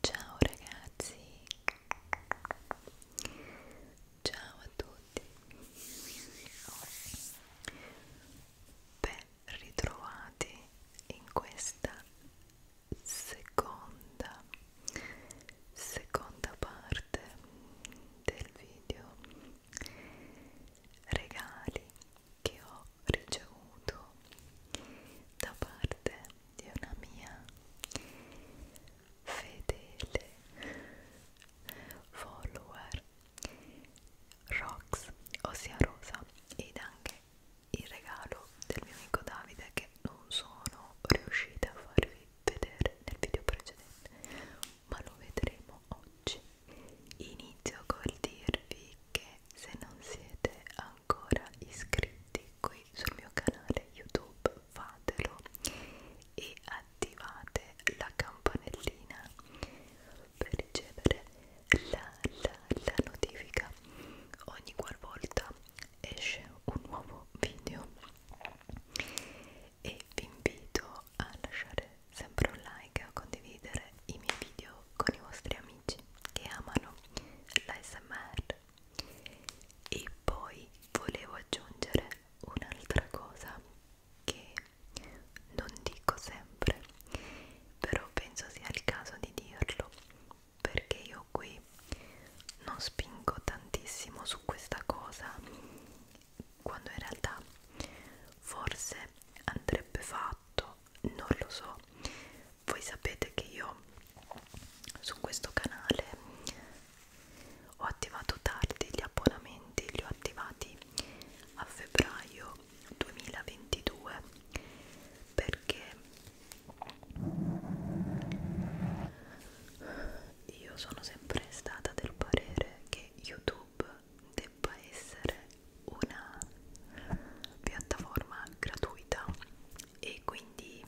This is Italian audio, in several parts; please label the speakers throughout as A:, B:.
A: Ciao ragazzi, ciao a tutti ben ritrovati in questa seconda seconda parte del video regali che ho ricevuto da parte di una mia fedele follower Rox, ossia Rosa, ed anche il regalo del mio amico Davide che non sono riuscita a farvi vedere nel video precedente, ma lo vedremo oggi. Inizio col dirvi che se non siete ancora iscritti qui sul mio canale YouTube fatelo e attivate la campanellina per ricevere la, la, la notifica ogni qualvolta esce un nuovo video e vi invito a lasciare sempre un like e a condividere i miei video con i vostri amici che amano l'ASMR e poi volevo aggiungere un'altra cosa che non dico sempre, però penso sia il caso di dirlo perché io qui non spingo tantissimo su questa cosa quando in realtà forse andrebbe fatto, non lo so. Voi sapete che io su questo canale ho attivato tardi gli abbonamenti, li ho attivati a febbraio 2022 perché io sono sempre stata del parere che YouTube debba essere una piattaforma gratuita e quindi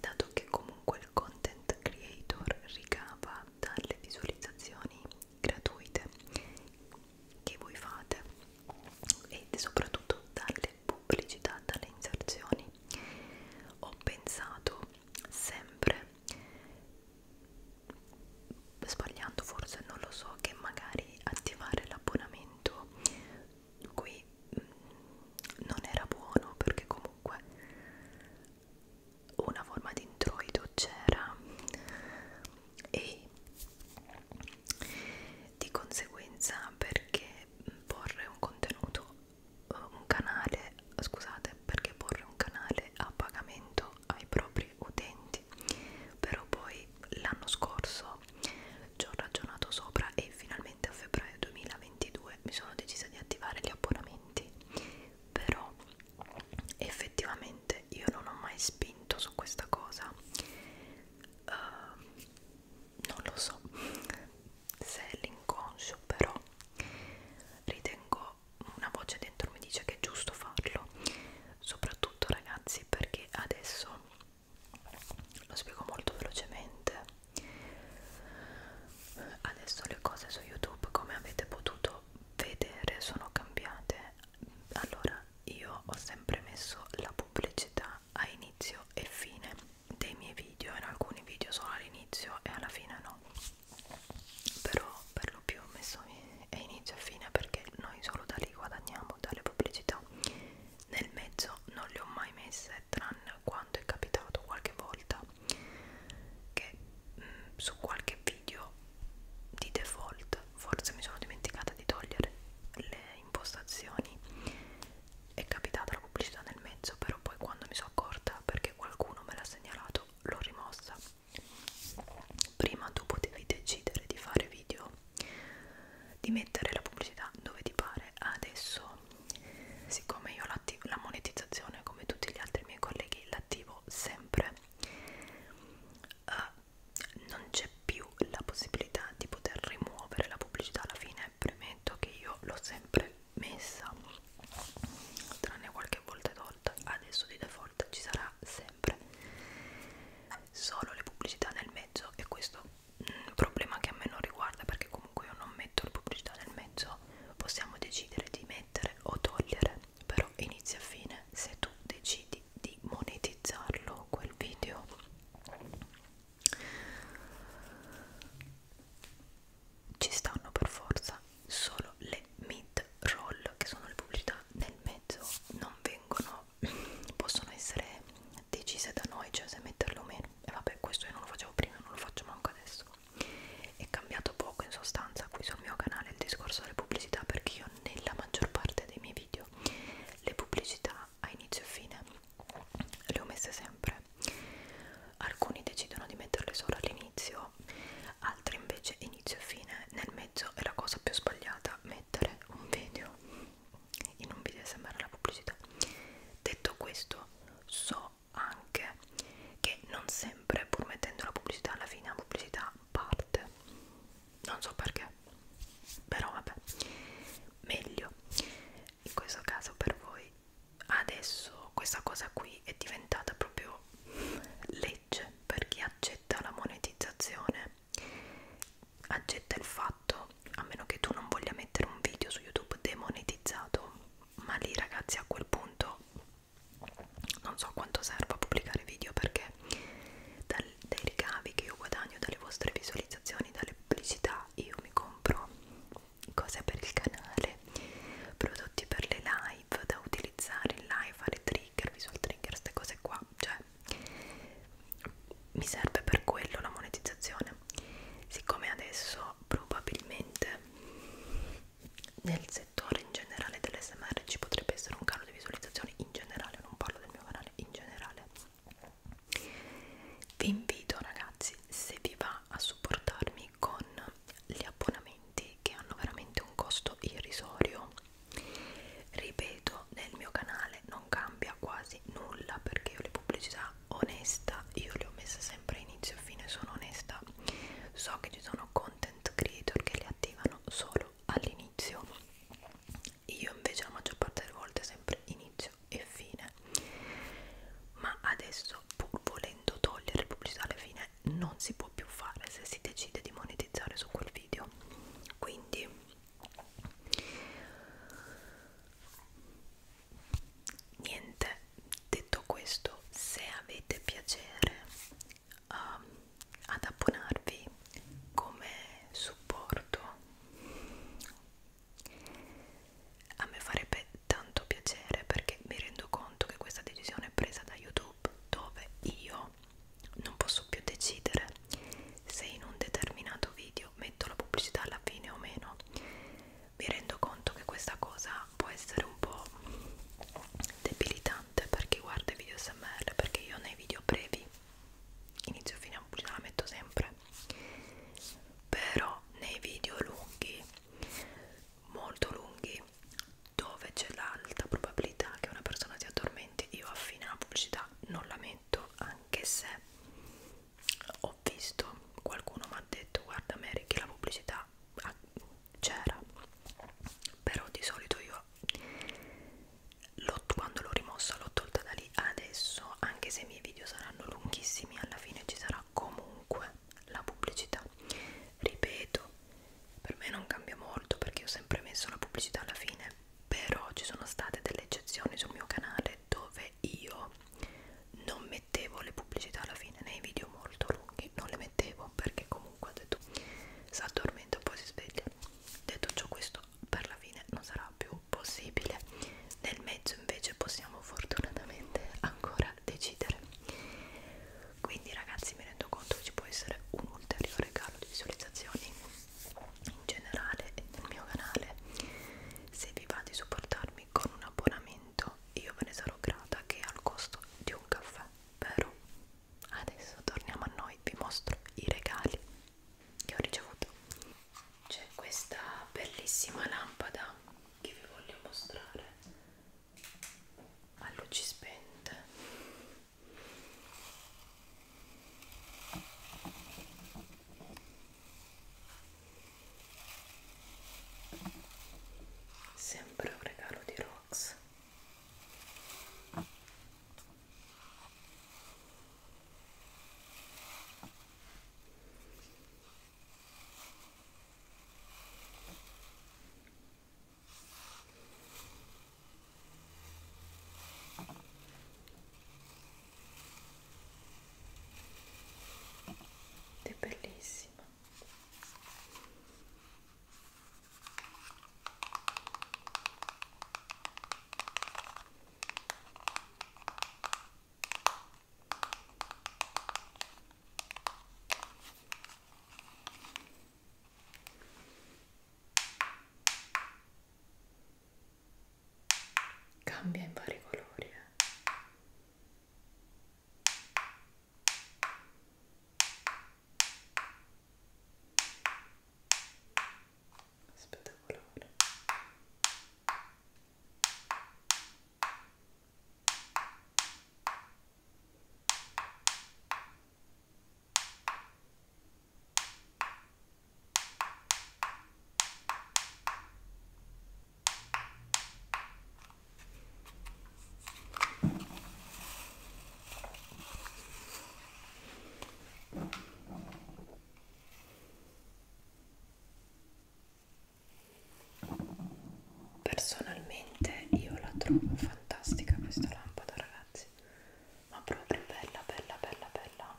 A: dato che comunque il content creator ricava dalle visualizzazioni gratuite che voi fate e soprattutto dalle pubblicità, dalle inserzioni. Ho pensato sempre, sbagliando forse non lo so, che magari attivare l'abbonamento qui mh, mm, non era buono perché comunque una forma di introito c'era e di conseguenza perché porre un contenuto eh, un canale scusate perché porre un canale a pagamento ai propri utenti però poi l'anno scorso ci ho ragionato sopra e finalmente a febbraio 2022 mi sono decisa di attivare gli abbonamenti però effettivamente io non ho mai spinto su questa cosa uh, non lo so se è l'inconscio però ritengo una voce dentro mi dice che è giusto farlo soprattutto ragazzi perché adesso lo spiego molto velocemente adesso le cose su youtube come avete potuto vedere sono cambiate allora io ho sempre messo la pubblicità a inizio e fine dei miei video in alcuni video sono all'inizio e alla fine no però per lo più ho messo a inizio e fine perché noi solo da lì guadagniamo dalle pubblicità nel mezzo non le ho mai messe tranne quando è capitato qualche volta che mh, mm, su qualche video di default forse mi sono dimenticata di togliere le impostazioni è capitata la pubblicità nel mezzo però poi quando mi sono accorta perché qualcuno me l'ha segnalato l'ho rimossa prima tu potevi decidere di fare video di mettere la pubblicità dove ti pare adesso siccome io la, la monetizzazione come tutti gli altri miei colleghi l'attivo sempre uh, non c'è più la possibilità di poter rimuovere la pubblicità alla fine premetto che io l'ho sempre messa tranne qualche volta tolta adesso di default ci sarà sempre solo le pubblicità nel mezzo e questo un mm, problema che a me non riguarda perché comunque io non metto le pubblicità nel mezzo possiamo decidere di mettere mettere o togliere però inizio a fine se tu decidi di monetizzarlo quel video ci stanno per forza solo le mid roll che sono le pubblicità nel mezzo non vengono possono essere decise da noi cioè se metterlo o meno e vabbè questo io non lo facevo prima non lo faccio manco adesso è cambiato poco in sostanza qui sul mio canale il discorso delle pubblicità perché io nella maggior parte dei miei video le pubblicità a inizio e fine le ho messe sempre. Alcuni decidono di metterle solo all'inizio, altri invece inizio e fine. Nel mezzo è la cosa più sbagliata mettere un video in un video sembra la pubblicità. Detto questo, so anche che non sempre pur mettendo la pubblicità alla fine la pubblicità parte non so perché però vabbè meglio in questo caso per voi adesso questa cosa qui è diventata proprio legge per chi accetta la monetizzazione accetta il fatto a meno che tu non voglia mettere un video su youtube demonetizzato ma lì ragazzi a quel punto non so quanto serva pubblicare video perché dal, dai ricavi che io guadagno dalle vostre visualizzazioni, dalle pubblicità io mi compro cose per il canale, prodotti per le live da utilizzare in live, fare trigger, visual trigger, queste cose qua, cioè mi serve per quello la monetizzazione siccome adesso probabilmente nel settore in generale dell'SMR ci potrebbe essere un calo di visualizzazioni in generale, non parlo del mio canale, in generale. Vi invito ragazzi, se vi va, a supportarmi con gli abbonamenti che hanno veramente un costo irrisorio. Ripeto, nel mio canale non cambia quasi nulla perché io le pubblicità onesta io le ho messe sempre inizio e fine sono onesta so che ci sono content creator che le attivano solo all'inizio io invece la maggior parte delle volte sempre inizio e fine ma adesso pur volendo togliere pubblicità alla fine non si può più fare se si decide di monetizzare su quel video quindi niente detto questo se avete piacere um, ad abbonarvi come supporto a me farebbe tanto piacere perché mi rendo conto che questa decisione è presa da youtube dove io non posso più decidere se in un determinato video metto la pubblicità alla fine o meno mi rendo conto che questa cosa può essere un po' debilitante per chi guarda i video smr perché io nei video brevi inizio fine a pubblicità la metto sempre però nei video lunghi molto lunghi dove c'è l'alta probabilità che una persona si addormenti io a fine la pubblicità non la metto anche se ho ho visto qualcuno mi ha detto guarda Mary che la pubblicità ah, c'era però di solito io quando l'ho rimossa l'ho tolta da lì adesso anche se i miei video saranno lunghissimi alla fine ci sarà comunque la pubblicità ripeto per me non cambia molto perché ho sempre messo la pubblicità alla fine però ci sono state delle eccezioni sul mio canale dove io non mettevo le pubblicità alla fine nei video molto lunghi non le mettevo perché comunque ho detto si addormenta poi si sveglia detto ciò questo per la fine non sarà più possibile nel mezzo invece possiamo fortunatamente ancora decidere quindi ragazzi mi rendo conto che ci può essere un ulteriore calo di visualizzazioni in generale e nel mio canale se vi va di supportarmi con un abbonamento momento io ve ne sarò grata che è al costo di un caffè, vero? Adesso torniamo a noi, vi mostro i regali che ho ricevuto. C'è questa bellissima lampada che vi voglio mostrare a luci spente sempre un regalo di Rox ed è bellissima cambia in vari colori eh spettacolare Personalmente io la trovo fantastica questa lampada ragazzi, ma proprio bella, bella, bella, bella.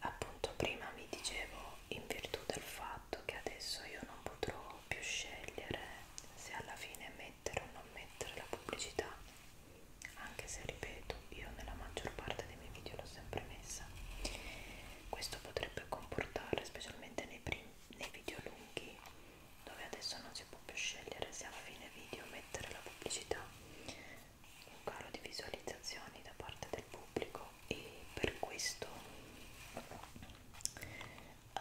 A: Appunto prima vi dicevo in virtù del fatto che adesso io non potrò più scegliere se alla fine mettere o non mettere la pubblicità anche se ripeto io nella maggior parte dei miei video l'ho sempre messa questo potrebbe comportare specialmente nei, nei video lunghi dove adesso non si può più scegliere se alla fine video mettere la pubblicità un calo di visualizzazioni da parte del pubblico ecco e per questo uh,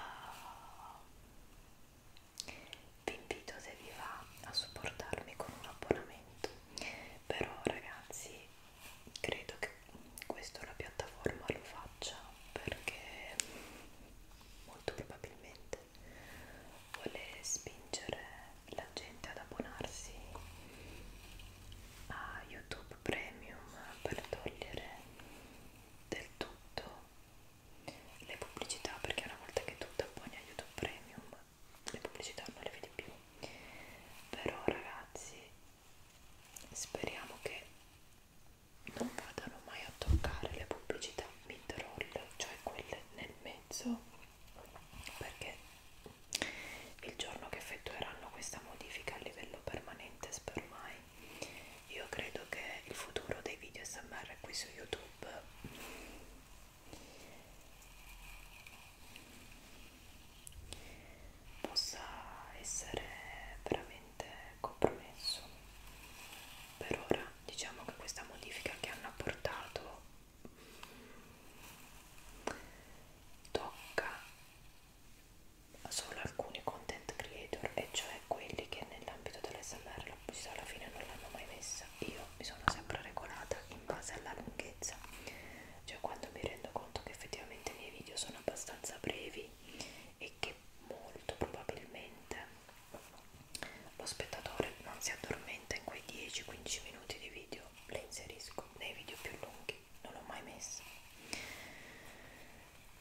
A: vi invito se vi va a supportarmi con un abbonamento però ragazzi credo che questo la piattaforma lo faccia perché molto probabilmente vuole spingere la gente ad abbonarsi a YouTube Premium per togliere del tutto le pubblicità perché una volta che tu ti abboni a YouTube Premium le pubblicità non le vedi più però ragazzi speriamo che non vadano mai a toccare le pubblicità mid-roll cioè quelle nel mezzo perché il giorno che effettueranno questa modifica a livello permanente spero mai. Io credo che il futuro dei video SMR qui su YouTube possa essere veramente compromesso. Per ora diciamo che questa modifica che hanno apportato tocca solo alcuni content creator e cioè quelli che nell'ambito dell'SMR la pubblicità alla fine non l'hanno mai messa io mi sono sempre regolata in base alla lunghezza cioè quando mi rendo conto che effettivamente i miei video sono abbastanza brevi e che molto probabilmente lo spettatore non si addormenta in quei 10-15 minuti di video le inserisco nei video più lunghi che non l'ho mai messa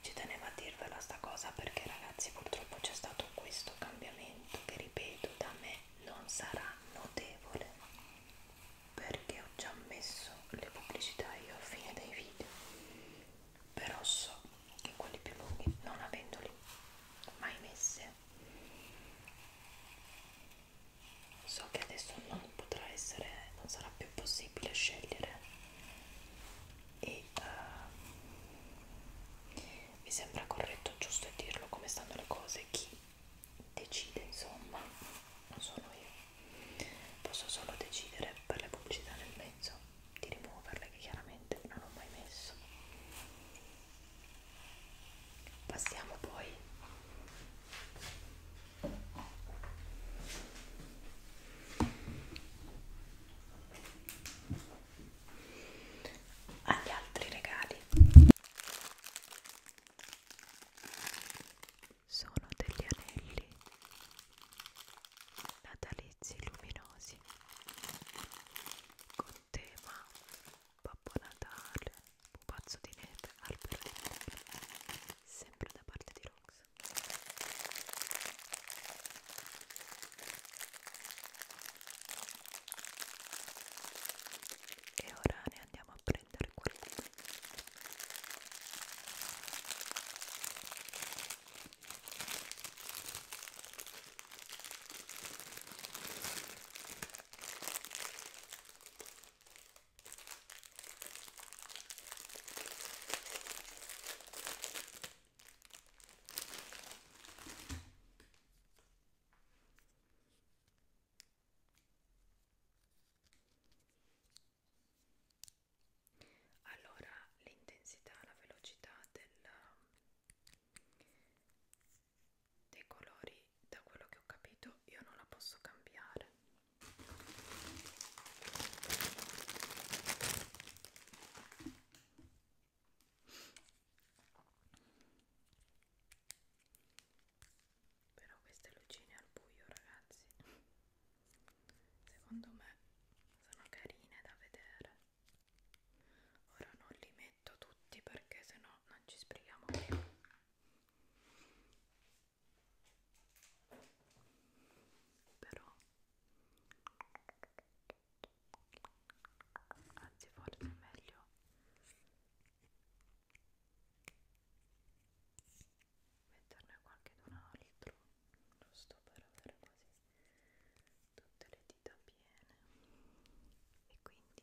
A: ci tenevo a dirvela sta cosa perché ragazzi purtroppo c'è stato questo cambiamento che ripeto da me non sarà notevole perché ho già messo le pubblicità io a fine dei video però so che quelli più lunghi non avendoli mai messe so che adesso non potrà essere non sarà più possibile scegliere e uh, mi sembra corretto giusto dirlo come stanno le cose chi decide insomma non sono io posso solo decidere per le pubblicità nel mezzo di rimuoverle che chiaramente non ho mai messo passiamo poi agli altri regali sono degli anelli natalizi luminosi con tema Babbo Natale pupazzo di neve al perlino, sempre da parte di Rox. E ora ne andiamo a prendere qualcuno. Allora, l'intensità, la velocità del, dei colori quindi da quello che ho capito io non la posso cambiare però queste lucine al buio ragazzi secondo me sono carine da vedere ora non li metto tutti perché sennò non ci sbrighiamo più però anzi forse è meglio metterne qualche d'un altro giusto per avere quasi tutte le dita piene e quindi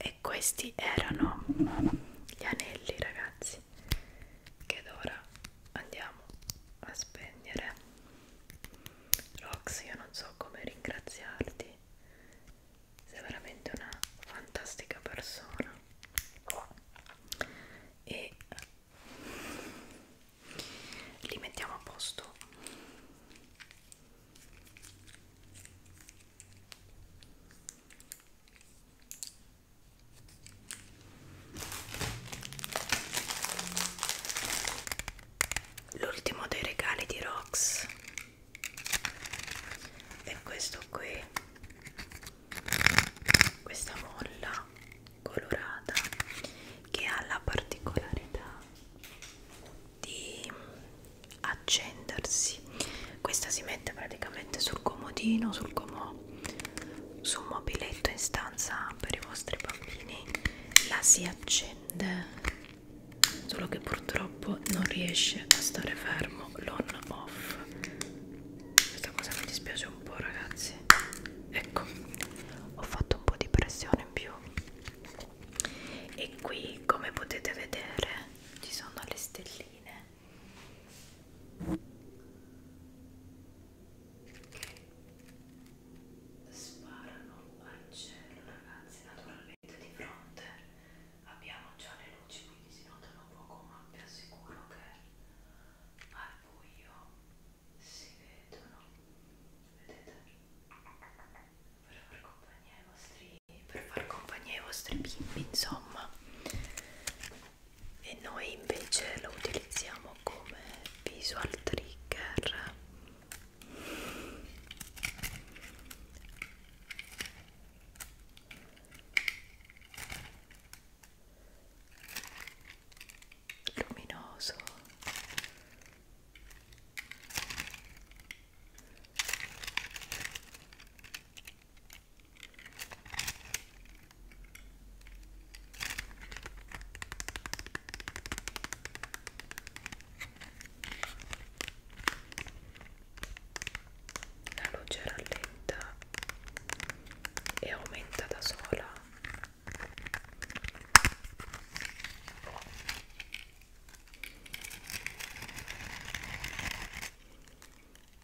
A: E questi erano gli anelli, ragazzi che ora andiamo a spegnere Rox io non so come ringraziarti sei veramente una fantastica persona e eh, li mettiamo a posto l'ultimo dei regali di Rox è questo qui questa molla colorata che ha la particolarità di accendersi questa si mette praticamente sul comodino sul comò su un mobiletto in stanza per i vostri bambini la si accende solo che purtroppo non riesce a stare fermo l'on off questa cosa mi dispiace un po' ragazzi ecco ho fatto un po' di pressione in più e qui come potete vedere ci sono le stelline Sparano al cielo ragazzi, naturalmente di fronte abbiamo già le luci quindi si notano poco ma vi assicuro che al buio si vedono, vedete? Per far compagnia ai vostri, per far compagnia ai vostri bimbi insomma e noi invece lo utilizziamo come visual trigger luminoso la luce rallenta e aumenta da sola.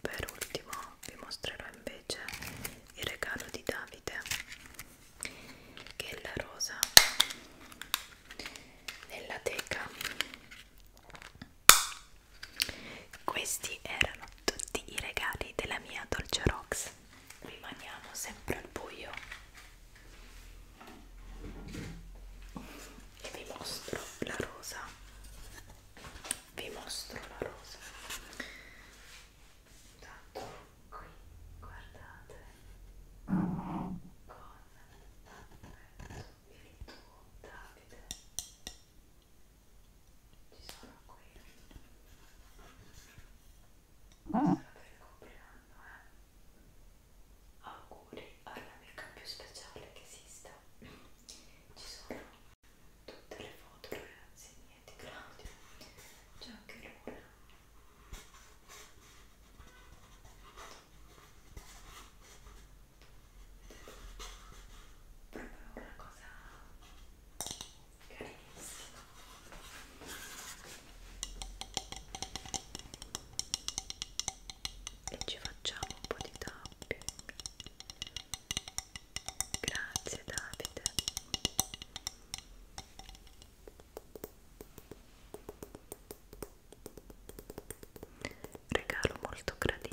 A: Per ultimo vi mostrerò invece il regalo di Davide che è la rosa nella teca. Questi erano tutti i regali della mia Dolce Rox. Rimaniamo sempre al buio e vi mostro la rosa vi mostro la rosa intanto qui guardate con virtù Davide ci sono qui sarà per il compleanno eh auguri all'amica più speciale che esista ci sono tutte le foto ragazzi mie di Claudio c'è anche Luna proprio una cosa carinissima e ci facciamo un po' di tapping Grazie Davide. Regalo molto gradito.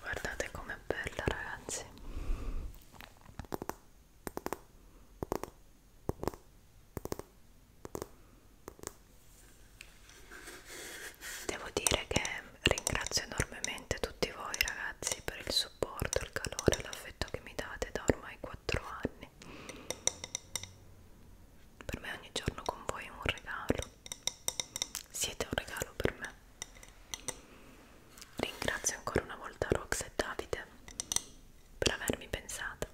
A: Guardate com'è bella, ragazzi. Devo dire che ringrazio enormemente tutti voi ragazzi per il supporto, il calore, l'affetto che mi date da ormai 4 anni. Per me ogni giorno con voi è un regalo. Siete un regalo per me. Ringrazio ancora una volta Rox e Davide per avermi pensato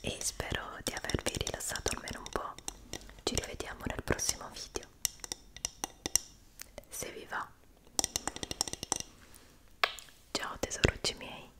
A: e spero di avervi rilassato almeno un po'. Ci rivediamo nel prossimo video. Se vi va. Ciao tesorucci miei.